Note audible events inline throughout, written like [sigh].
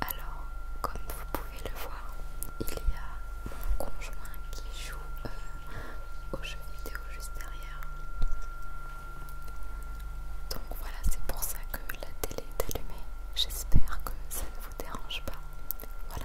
Alors, comme vous pouvez le voir, il y a mon conjoint qui joue euh, au aux jeux vidéo juste derrière. Donc voilà, c'est pour ça que la télé est allumée. J'espère que ça ne vous dérange pas. Voilà.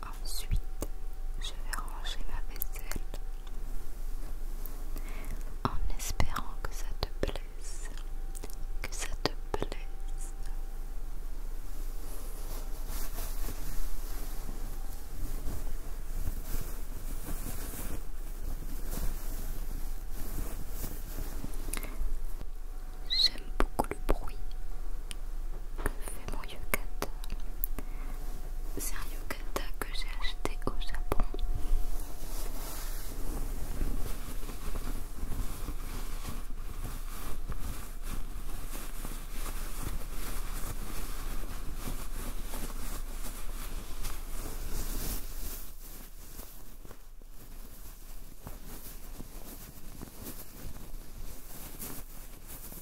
Ensuite, je vais ranger ma vaisselle en espérant que ça te plaise, que ça te plaise. J'aime beaucoup le bruit que fait mon yukata. C'est un yukata que j'ai acheté au Japon. Voilà,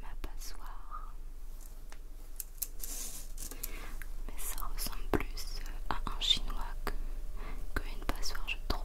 ma passoire. Mais ça ressemble plus euh, à un chinois que, une passoire, je trouve.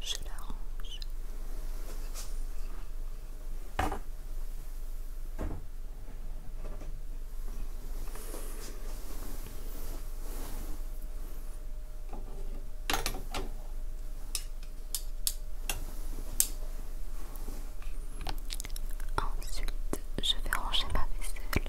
Je la range. Ensuite, je vais ranger ma vaisselle.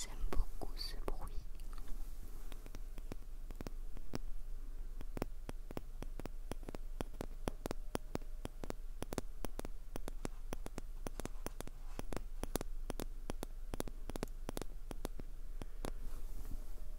J'aime beaucoup ce bruit.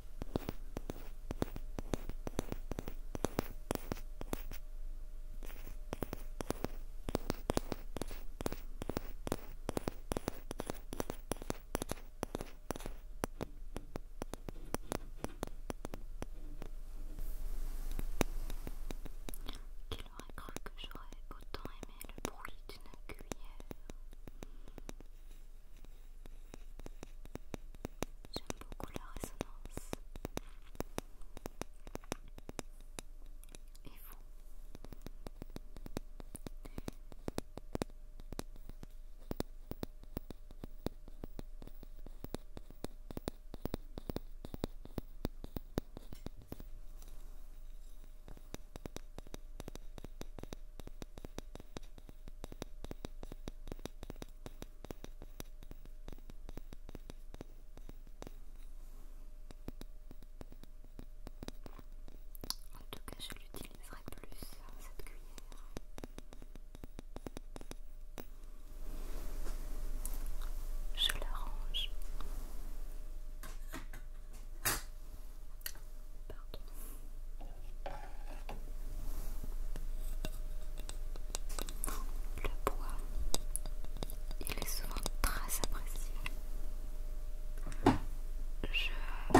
Qu'il aurait cru que j'aurais autant aimé le bruit d'une cuillère. J'aime beaucoup la résonance. En tout cas, je l'utiliserai plus hein, cette cuillère. Je l'arrange. Pardon. Le bois, il est souvent très apprécié. Je,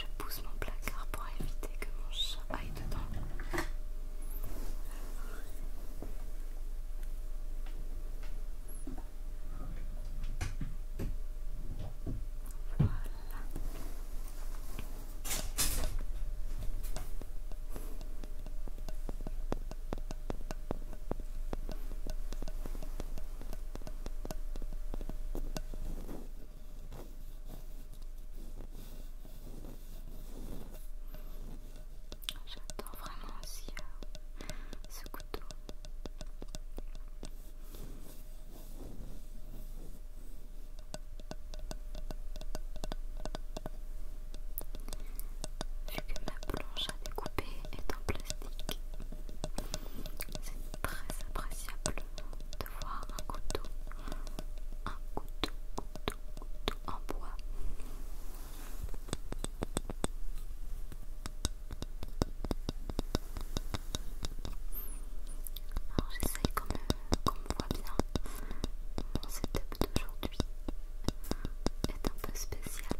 je pousse mon placard pour éviter que mon chat aille dedans. Voilà. J'adore vraiment aussi euh, ce couteau. Vu que ma planche à découper est en plastique, c'est très appréciable de voir un couteau, un couteau, couteau, couteau en bois. Alors j'essaye quand même comme on voit bien, mon setup d'aujourd'hui est un peu spécial.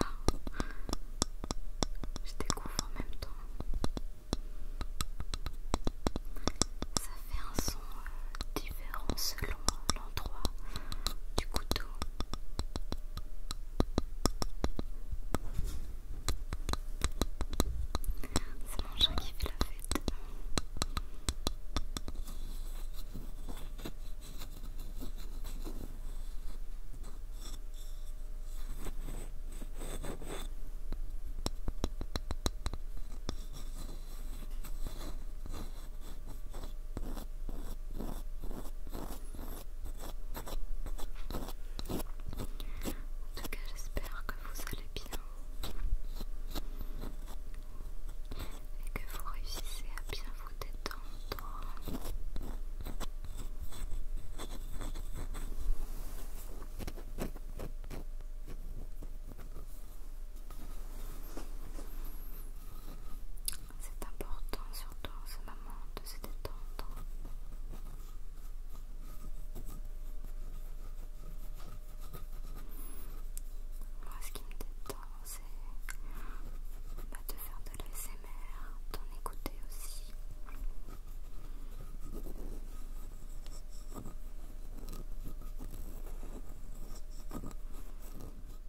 Ah, je découvre en même temps fait un son euh, différent selon l'endroit du couteau. C'est mon chat qui fait la fête. En tout cas, j'espère que vous allez bien et que vous réussissez à bien vous détendre. C'est important surtout en ce moment de se détendre. Moi ce qui me détend c'est bah, de faire de l'ASMR, d'en écouter aussi.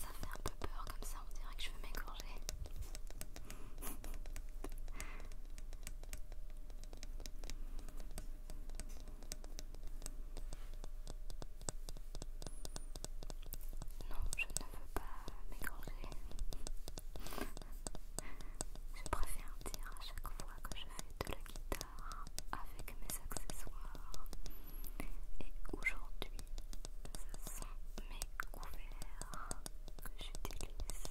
Ça fait un peu peur comme ça, on dirait que je veux m'égorger. Non, je ne veux pas m'égorger. Je préfère dire à chaque fois que je fais de la guitare avec mes accessoires. Et aujourd'hui, ce sont mes couverts que j'utilise.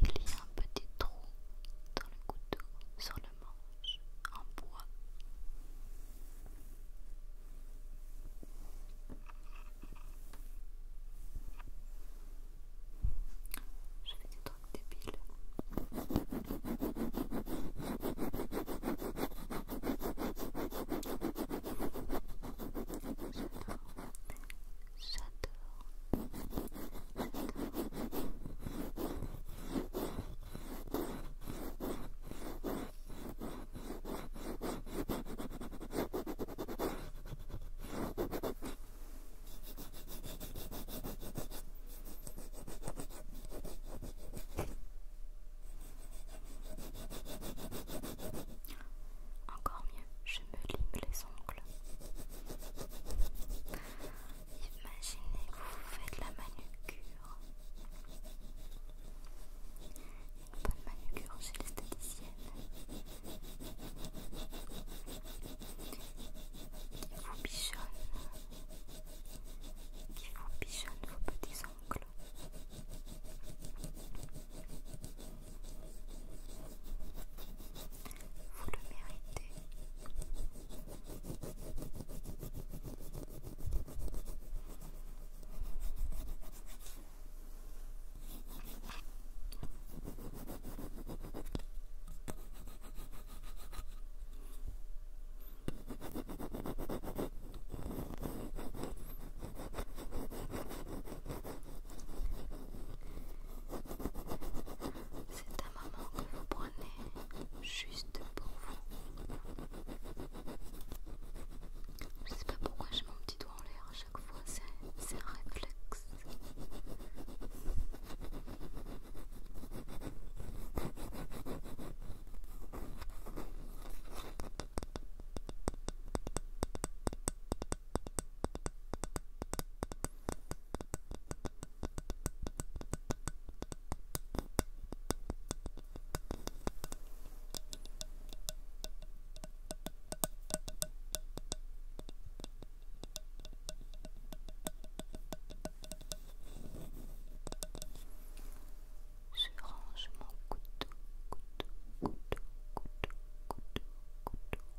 Il y a un petit trou dans le couteau sur le manche en bois. Je vais des trucs débile J'adore. Encore mieux, je me lime les Imaginez vous faites la manucure. Une bonne manucure chez l'esthéticienne qui vous bichonne, qui vous bichonne vos petits ongles. Vous le méritez. C'est un moment que vous prenez juste pour vous. Je sais pas pourquoi j'ai mon petit doigt en l'air à chaque fois, c'est un réflexe. Je range mon couteau, couteau, couteau, couteau, couteau,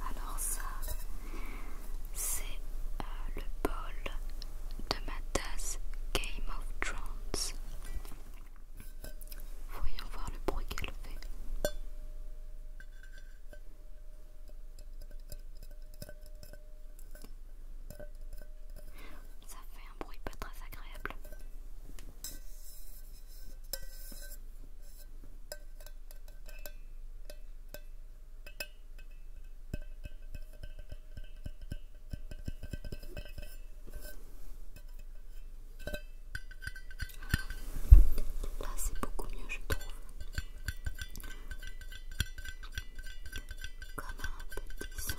Alors ça, c'est euh, le bol de ma tasse Game of Thrones. Voyons voir le bruit qu'elle fait. Ça fait un bruit pas très agréable. Là c'est beaucoup mieux je trouve. Comme un petit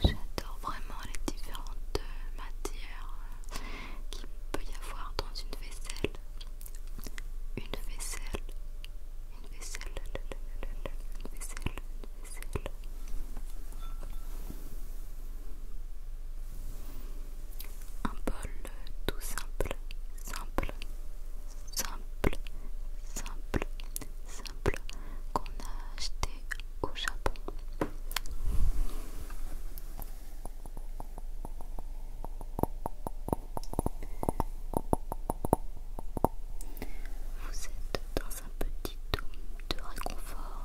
J'adore vraiment les différentes euh, matières euh, qu'il peut y avoir dans une vaisselle. Une vaisselle vaisselle, Un bol tout simple, simple, simple, simple, simple qu'on a acheté au Japon. Vous êtes dans un petit dôme de réconfort,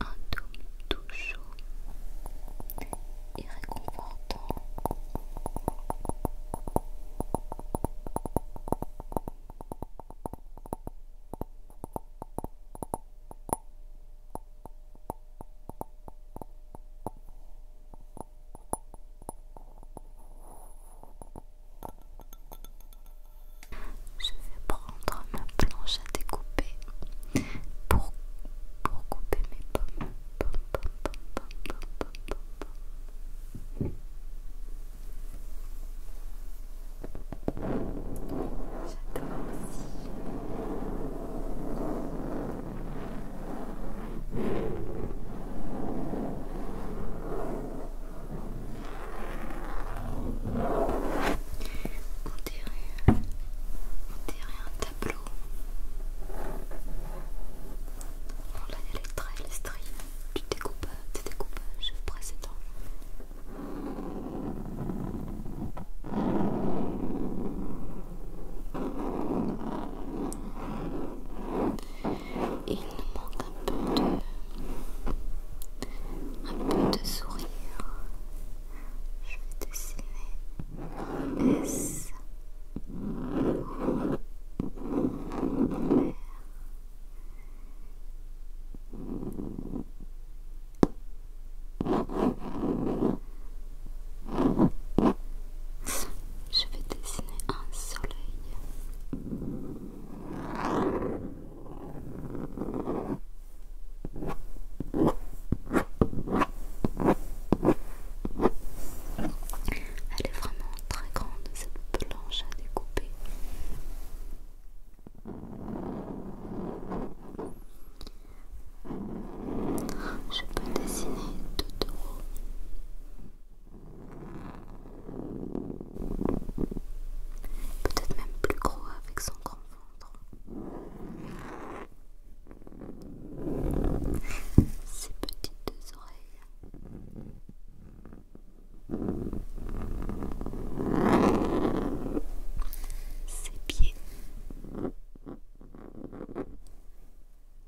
un dôme tout chaud et réconfortant. Je vais prendre ma planche à découper pour, couper mes pommes. J'adore aussi. On dirait, on dirait un tableau. On l'a les l'estrie du découpage, précédent il nous manque un peu de, sourire. Je vais dessiner un S. Je vais dessiner un soleil. Elle est vraiment très grande cette planche à découper. Je peux dessiner tout Peut-être même plus gros avec son grand ventre. Ses petites oreilles. Ses pieds.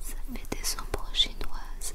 Ça fait des ombres chinoises.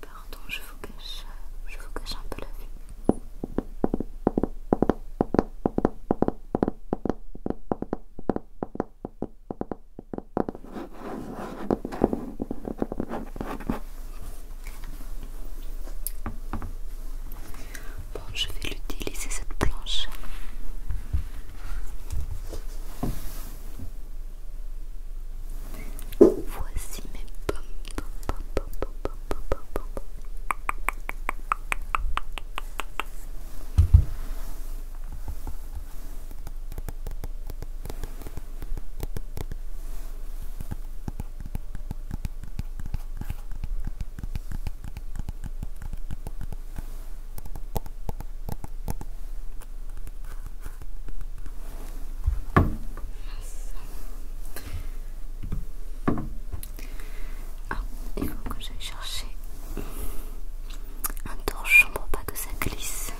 Pardon, je vous cache, je vous cache un peu la vue. Bon, je vais l'utiliser cette planche. Voici mes pommes. Ah, il faut que j'aille chercher un torchon pour pas que ça glisse.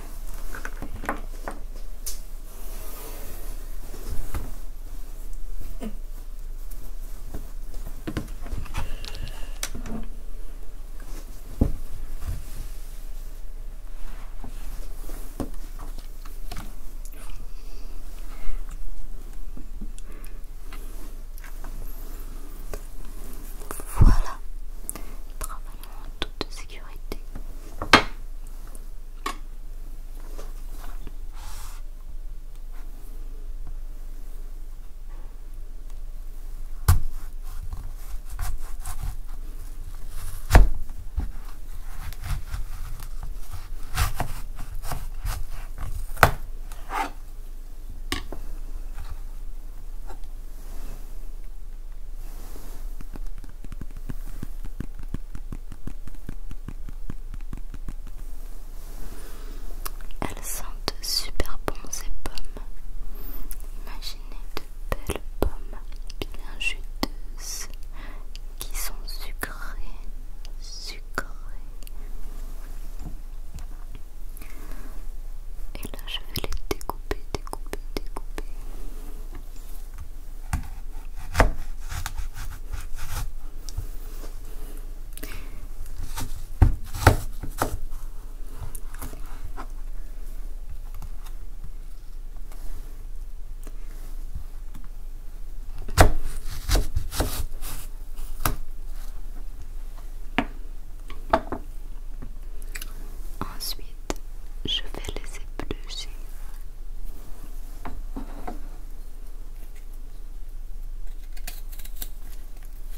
Voilà, travaillons en toute sécurité. Elles sentent super bon ces pommes de belles pommes bien juteuses qui sont sucrées, sucrées. Et là, je vais les découper, découper, découper. Ensuite, je vais laisser plus.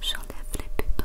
J'enlève les pépins,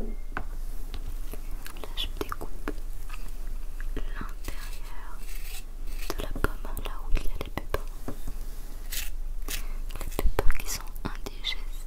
Là, je découpe l'intérieur de la pomme, hein, là où il y a les pépins. Les pépins qui sont indigestes.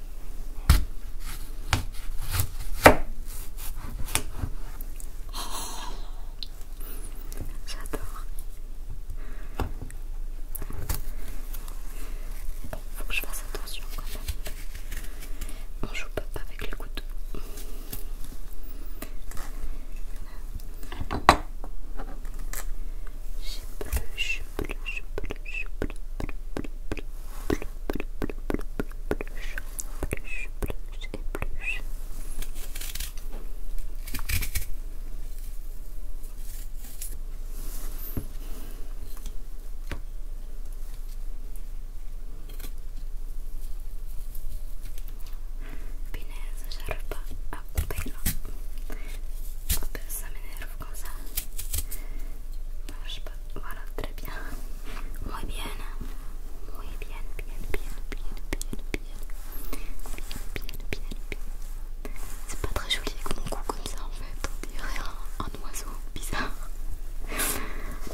J'adore. faut que je fasse attention quand même. On joue pas avec le couteau. J'ai plus, j'ai plus, j'ai plus, j'ai plus, plus, plus, plus, plus plus plus. plus à On peut voilà, très bien. Muy bien. Muy bien, bien, bien, bien, bien, bien. Bien, bien, bien, bien. C'est pas très joli avec mon cou comme ça en fait. On dirait un, oiseau bizarre.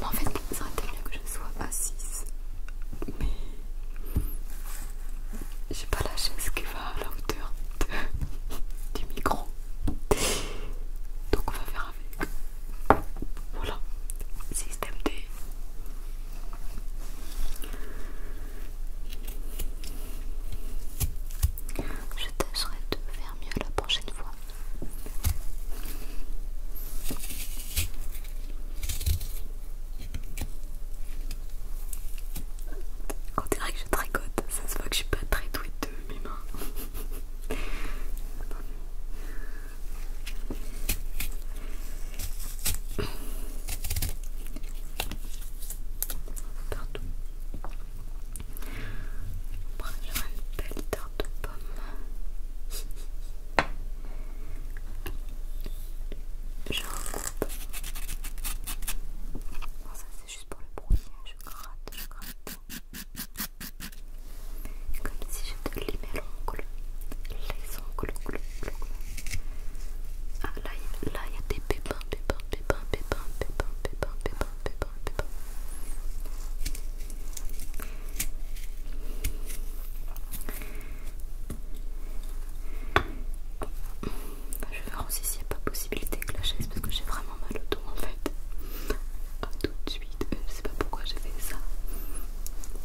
en fait, ça aurait été mieux que je sois assise. Mais j'ai pas la chaise qui va à la hauteur du micro. Donc on va faire voilà, système D. Je tâcherai de faire mieux la prochaine fois. On dirait que je tricote, ça se voit que je suis pas très douée de mes mains bon On va prendre une belle tarte aux pommes. Je recoupe. ça c'est juste pour le bruit, Je gratte, je gratte. Comme si je te les l'ongle. Les ongles, ongle, ongle. Ah là, là il y a des pépins, pépins, pépins, pépins, pépins, pépins, pépins, pépins, pépins. Je vais voir aussi s'il n'y a pas possibilité que la chaise parce que j'ai vraiment mal au dos en fait. A tout de suite, je sais pas pourquoi j'ai fait ça.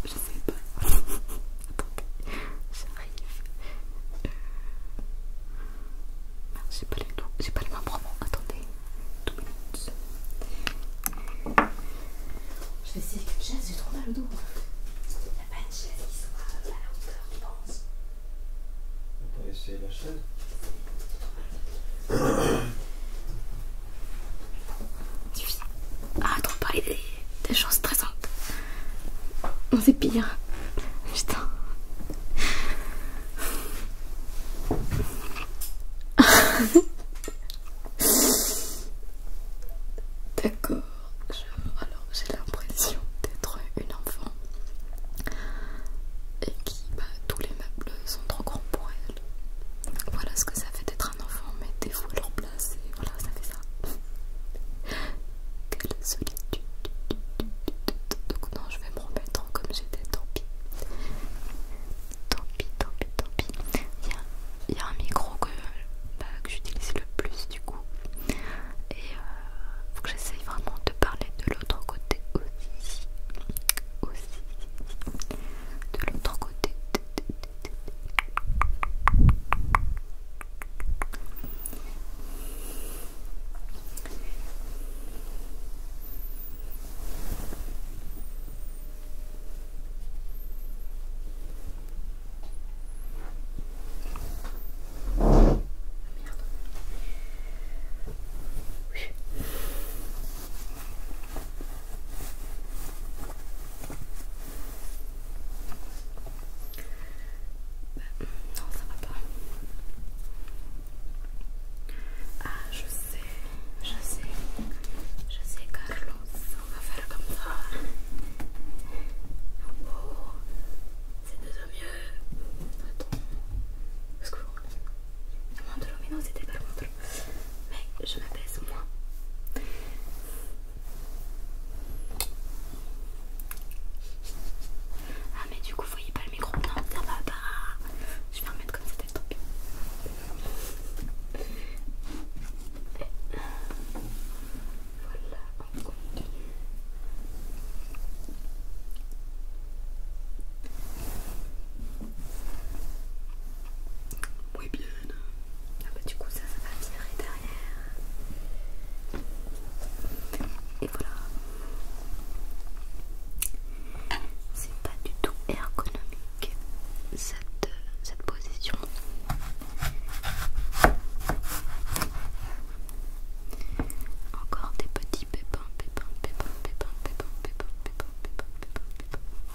Je sais pas. [laughs] Attendez, j'arrive. Euh, j'ai pas les doux, j'ai pas les Attendez, deux minutes. Je vais essayer avec une chaise, j'ai trop mal au dos. Il n'y a pas une chaise qui soit à la hauteur, je pense. On peut essayer la chaise. [coughs] [coughs] [coughs] Ah, trop parler des, choses stressantes. c'est pire. Putain. [laughs] D'accord. Alors, j'ai l'impression d'être une enfant et qui, bah, tous les meubles sont trop grands pour elle. Voilà ce que ça fait d'être un enfant, mais des fois à leur place, et voilà, ça fait ça. Quelle solitude. Donc non, je vais me remettre comme j'étais, tant pis. Tant pis, tant pis, tant pis. Il y, a un micro bah, que, j'utilise le plus du coup. Et il euh, faut que j'essaye vraiment de parler de l'autre côté aussi. Aussi de l'autre côté. Merde. Oui non, ça va pas. Ah, je sais, je sais, je sais, Carlos. On va faire comme ça. Oh, c'est déjà mieux. Attends, Est-ce que oh, le de c'était pas mais je au moins. Ah mais du coup vous voyez pas le micro Non ça pas Je vais remettre comme ça le Voilà on continue oui, bien. Ah bah du coup ça, ça va tirer derrière. Et voilà. C'est pas du tout ergonomique cette, cette position. Encore des petits pépins, pépins, pépins, pépins, pépins, pépins, pépins, pépins, pépins, pépins, pépins,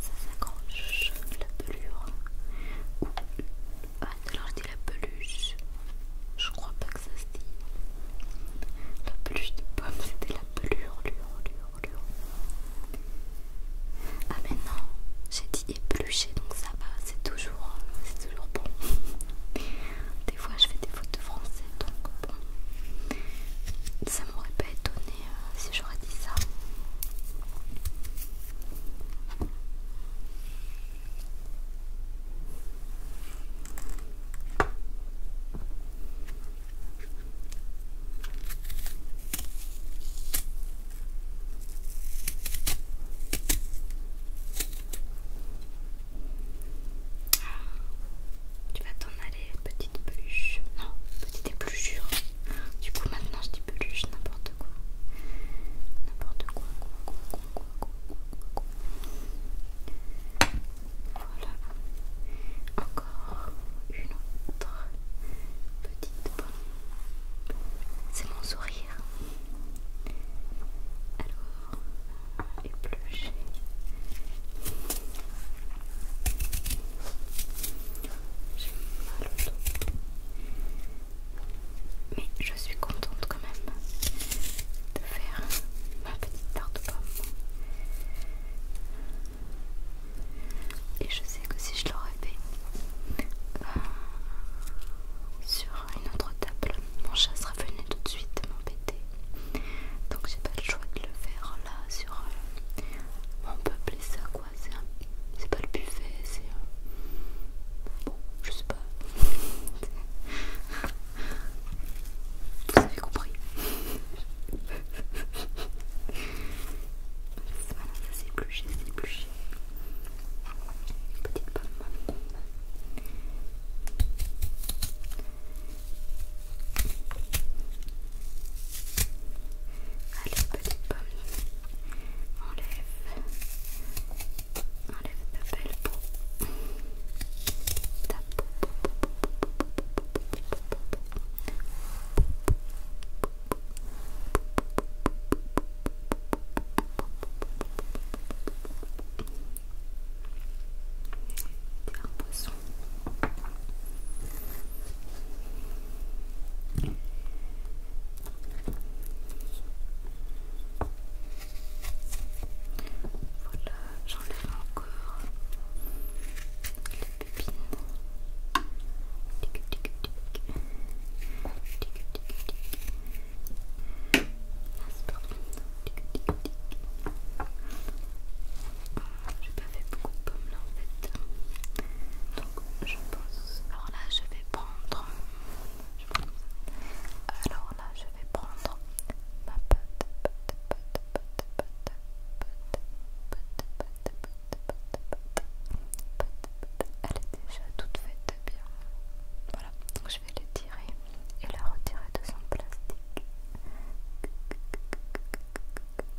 Ça s'accroche, la pelure. ah, je dis la peluche. Je crois pas que ça se dit. La peluche de pommes c'était la pelure, lueur, Ah, mais non, j'ai dit épluché donc ça va, c'est toujours, euh, c'est toujours bon. [laughs] Des fois je fais des fautes de français donc bon. Ça m'aurait pas étonné euh, si j'aurais dit ça. Ah. Tu vas t'en aller, petite peluche. Non, petite épluchure. Du coup, maintenant je dis peluche, n'importe quoi. N'importe quoi, quoi, quoi, quoi, quoi, quoi, Voilà. Encore une autre petite bonne C'est mon sourire. Alors, épluché. Voilà. J'ai mal au dos. Mais je suis contente quand même de faire ma petite tarte pomme Et je sais que si je l'aurais fait euh, sur une autre table, mon chat sera venu tout de suite m'embêter. Donc j'ai pas le choix de le faire là sur euh, mon peuple et ça c'est pas le buffet, c'est. Euh, bon, je sais pas. [laughs] Vous avez compris. voilà, ça c'est plus c'est Une Petite pomme. Allez, petite pomme. Enlève. Enlève ta belle peau. Ta peau. un poisson. Voilà, j'enlève encore les pépines. Tic, tic, tic. Tic, tic, tic. Ah, c'est Tic Tic, tic, tic. Ah, j'ai pas fait beaucoup de pommes là en fait. Donc je pense alors là je vais prendre alors là je vais prendre ma pâte elle est déjà toute faite bien voilà donc je vais l'étirer et la retirer de son plastique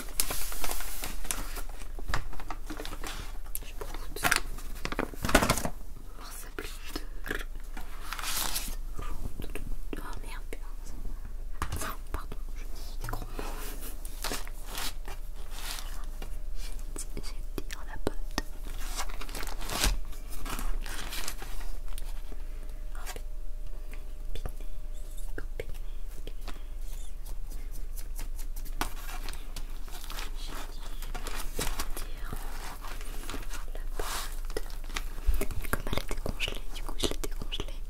Je prends tout ça. Oh, ça plus de... Oh merde, putain. Pardon, je dis des gros mots. J'ai tiré la botte. Oh, pâte. Comme elle était congelée, du coup je l'ai décongelée.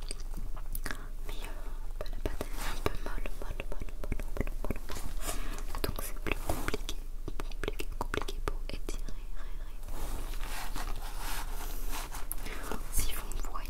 Mais la pâte est un peu molle, molle, molle, molle, molle, molle, Donc c'est plus compliqué, compliqué, compliqué pour étirer. Si vous me voyez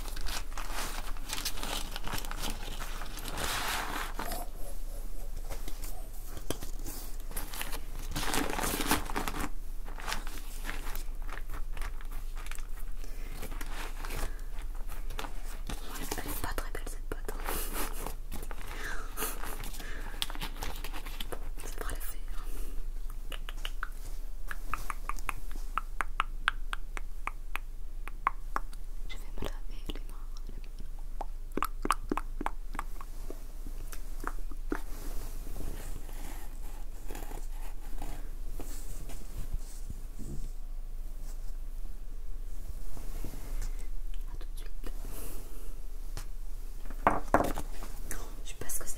Elle est pas très belle cette boîte. bon, hein. [laughs] ça devrait le faire. Hein. Je vais me laver les mains. A tout de suite. Je sais pas ce que c'est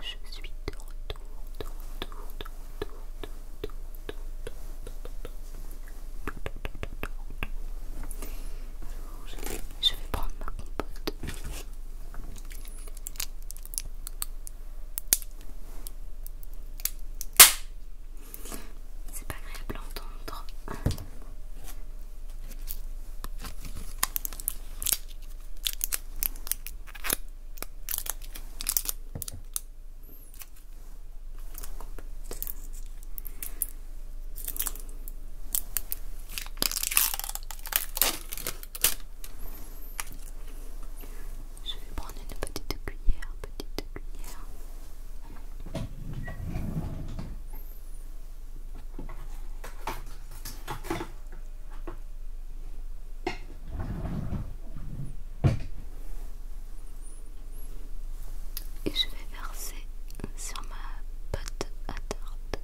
Je suis de retour, de retour, de retour, Je vais prendre ma compote. C'est pas agréable à entendre. Je vais prendre une petite cuillère, petite cuillère. Et je vais verser sur ma pote à tarte.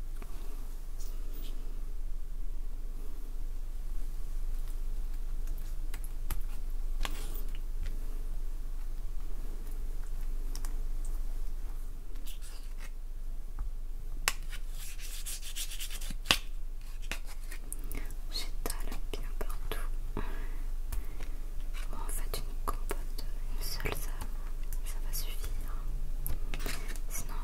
J'étale bien partout. en fait, une compote, une seule, ça, ça va suffire. Sinon,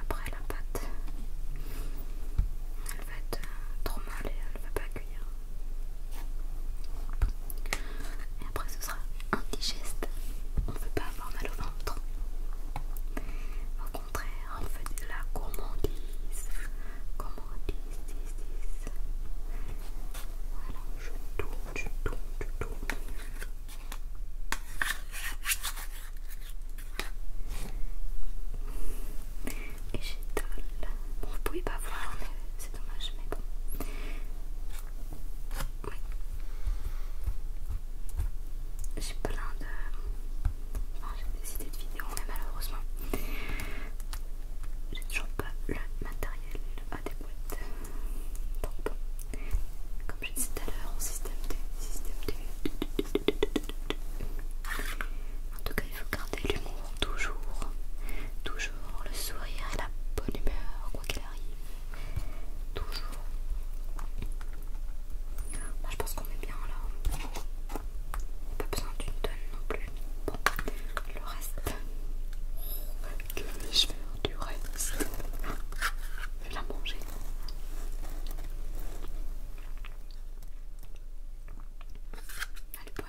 après la pâte, elle va être euh, trop molle et elle va pas cuire ce sera indigeste. On ne veut pas avoir mal au ventre. Au contraire, on veut de la gourmandise. Gourmandise, Voilà, je tourne, je tourne, je tourne. Et j'étale. Bon, ne pouvez pas voir, c'est dommage, mais bon. J'ai plein de... j'ai des idées de vidéos, mais malheureusement, j'ai toujours pas le matériel adéquat. Donc comme je disais tout à l'heure, système T, système En tout cas, il faut garder l'humour toujours, toujours le sourire et la bonne humeur, quoi qu'il arrive. Toujours. Bah, je pense qu'on est bien là. Pas besoin d'une tonne non plus. Bon, le reste. Que vais-je faire du reste Je vais la manger. Elle est bonne.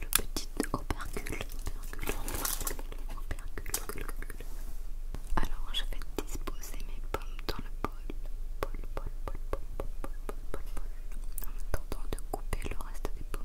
Le petit opercule. Opercule. Opercule. Alors, je vais disposer mes pommes dans le bol. Bol, bol, bol, bol, bol, En attendant de couper le reste des pommes.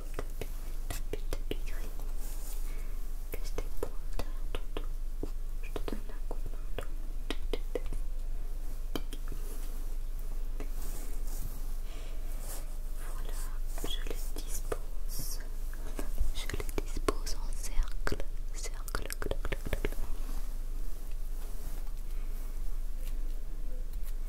que je t'épointe ton dos, je te donne la coupe. Voilà, je les dispose, je les dispose en cercle, cercle, cercle, cercle. Je vous en prie.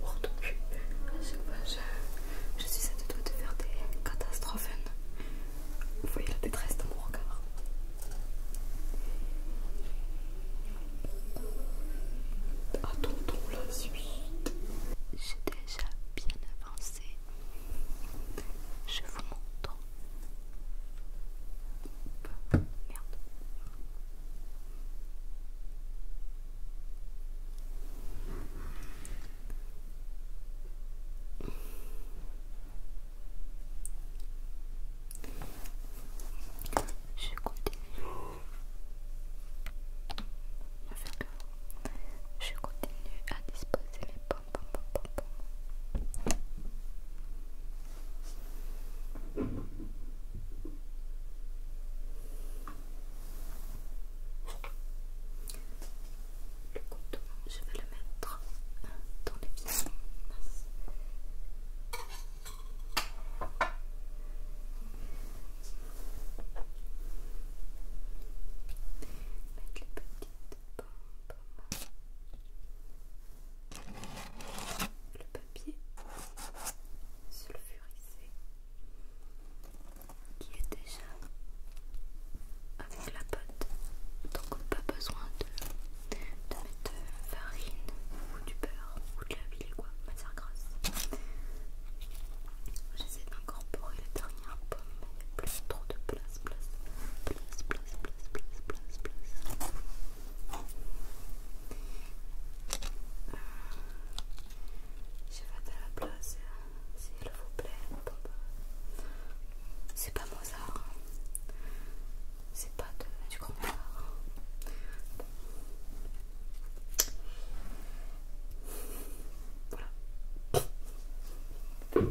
pour tout. je, suis à te de faire des catastrophes. Vous voyez la détresse dans mon regard. Attendons la suite. J'ai déjà bien avancé. Je vous montre. Merde. Je continue. Je continue à disposer mes pom pom pom pom pom le couteau, je vais le mettre dans les pieds. Mettre les petites pommes Le papier sulfurisé qui est déjà avec la pâte. Donc pas besoin de, mettre de euh, farine ou du beurre ou de la ville quoi, matière grasse. J'essaie d'incorporer la dernière pomme, mais il n'y a plus trop de place, place, place, place, place, place, place, place. Euh, vais fait la place, euh, s'il vous plaît. C'est pas c'est pas de, du grand Voilà. Voilà, voilà.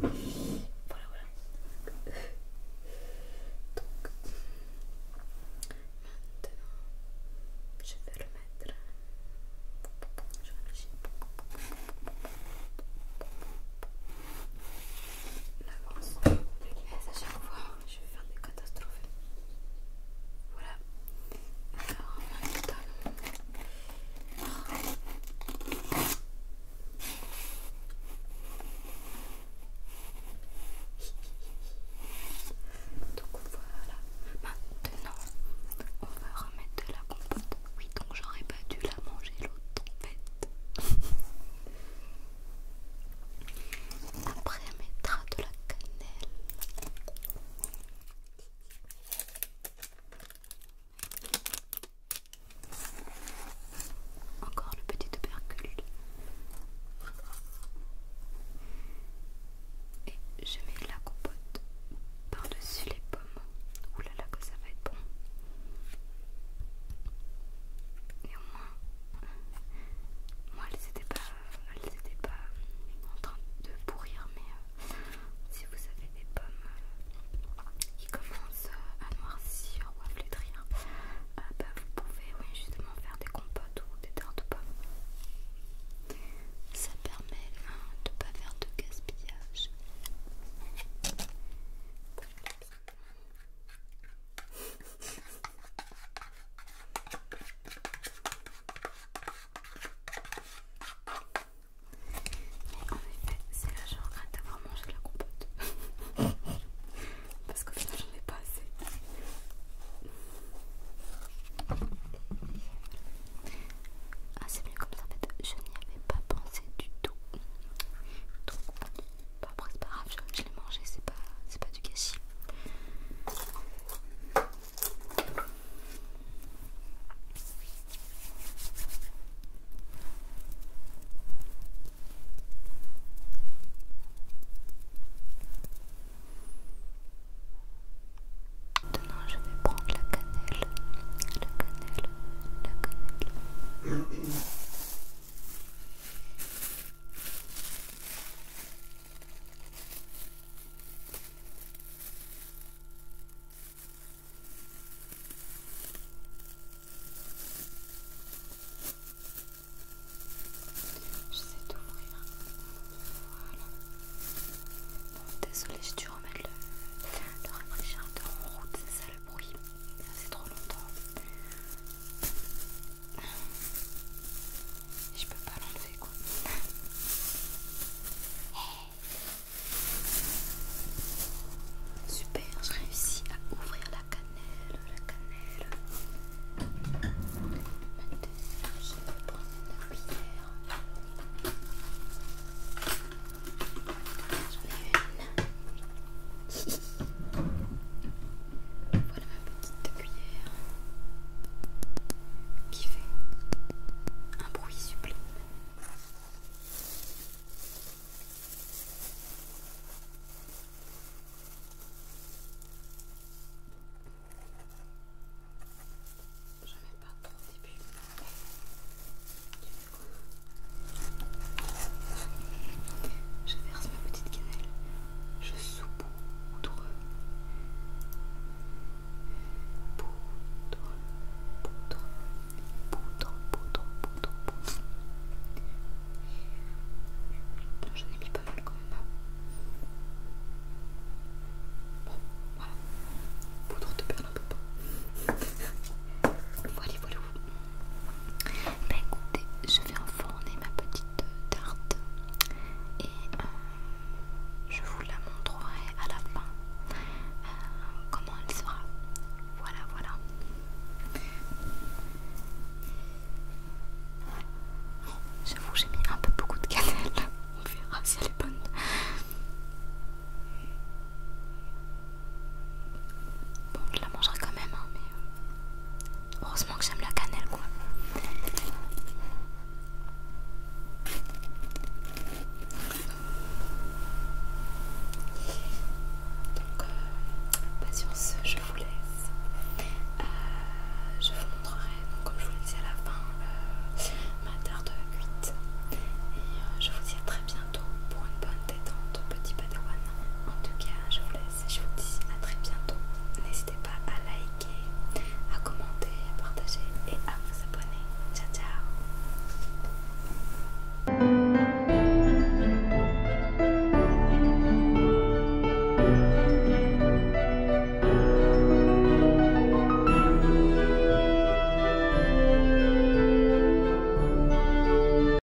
Donc, maintenant, je vais le mettre. vais l'avance. Eh, je vais faire des catastrophes. Voilà. donc voilà, maintenant on va remettre de la compote. Oui, donc j'aurais pas dû la manger l'autre en fait. Après, on mettra de la cannelle. Encore le petit tubercule. Et je mets la compote par-dessus les pommes. Ouh là là que ça va être bon. Et au moins, euh, moi elles n'étaient pas, pas euh, en train de pourrir, mais euh, si vous avez des pommes qui commencent à noircir ou à flétrir, bah, vous pouvez justement faire des compotes ou des tartes aux pommes. Ça permet hein, de ne pas faire de gaspillage. Mais en effet, c'est là que je regrette d'avoir mangé la compote. Parce que sinon j'en ai pas assez. Ah, c'est mieux comme ça en fait, je n'y avais pas pensé du tout après, c'est pas grave, je, l'ai mangé, c'est pas, pas du gâchis. Maintenant, je vais prendre la cannelle, la cannelle, la cannelle. J'essaie d'ouvrir. Voilà. Bon, désolée, j'ai dû remettre le, le rafraîchisseur en route, c'est ça le oui, ça c'est trop longtemps. Je peux pas l'enlever quoi. Super, je réussis à ouvrir la cannelle, la cannelle. Maintenant, je vais prendre la cuillère. J'en ai une. Voilà ma petite cuillère qui fait un bruit sublime. Je mets pas trop au début. Je verse ma petite cannelle, je soupe poudre, poudre, poudre, poudre, poudre, poudre, poudre. J'en ai mis pas mal quand même. Bon, hein. voilà, poudre de pas [laughs] voilà, voilà. Bah écoutez, je vais enfourner ma petite tarte et euh, je vous la montrerai à la fin euh, comment elle sera. Voilà, voilà. J'avoue, j'ai mis un peu beaucoup de cannelle. [laughs] On verra si elle est bonne. Bon, je la mangerai quand même, hein, mais euh, heureusement que j'aime la cannelle, quoi. Donc, euh, patience, je vous laisse. Euh, je vous montrerai, comme je vous le dis à la fin, ma terre de 8. Et je vous dis à très bientôt pour une bonne détente, petit padawan. En tout cas, je vous laisse et je vous dis à très bientôt. N'hésitez pas à liker, à commenter, à partager et à vous abonner. Ciao, ciao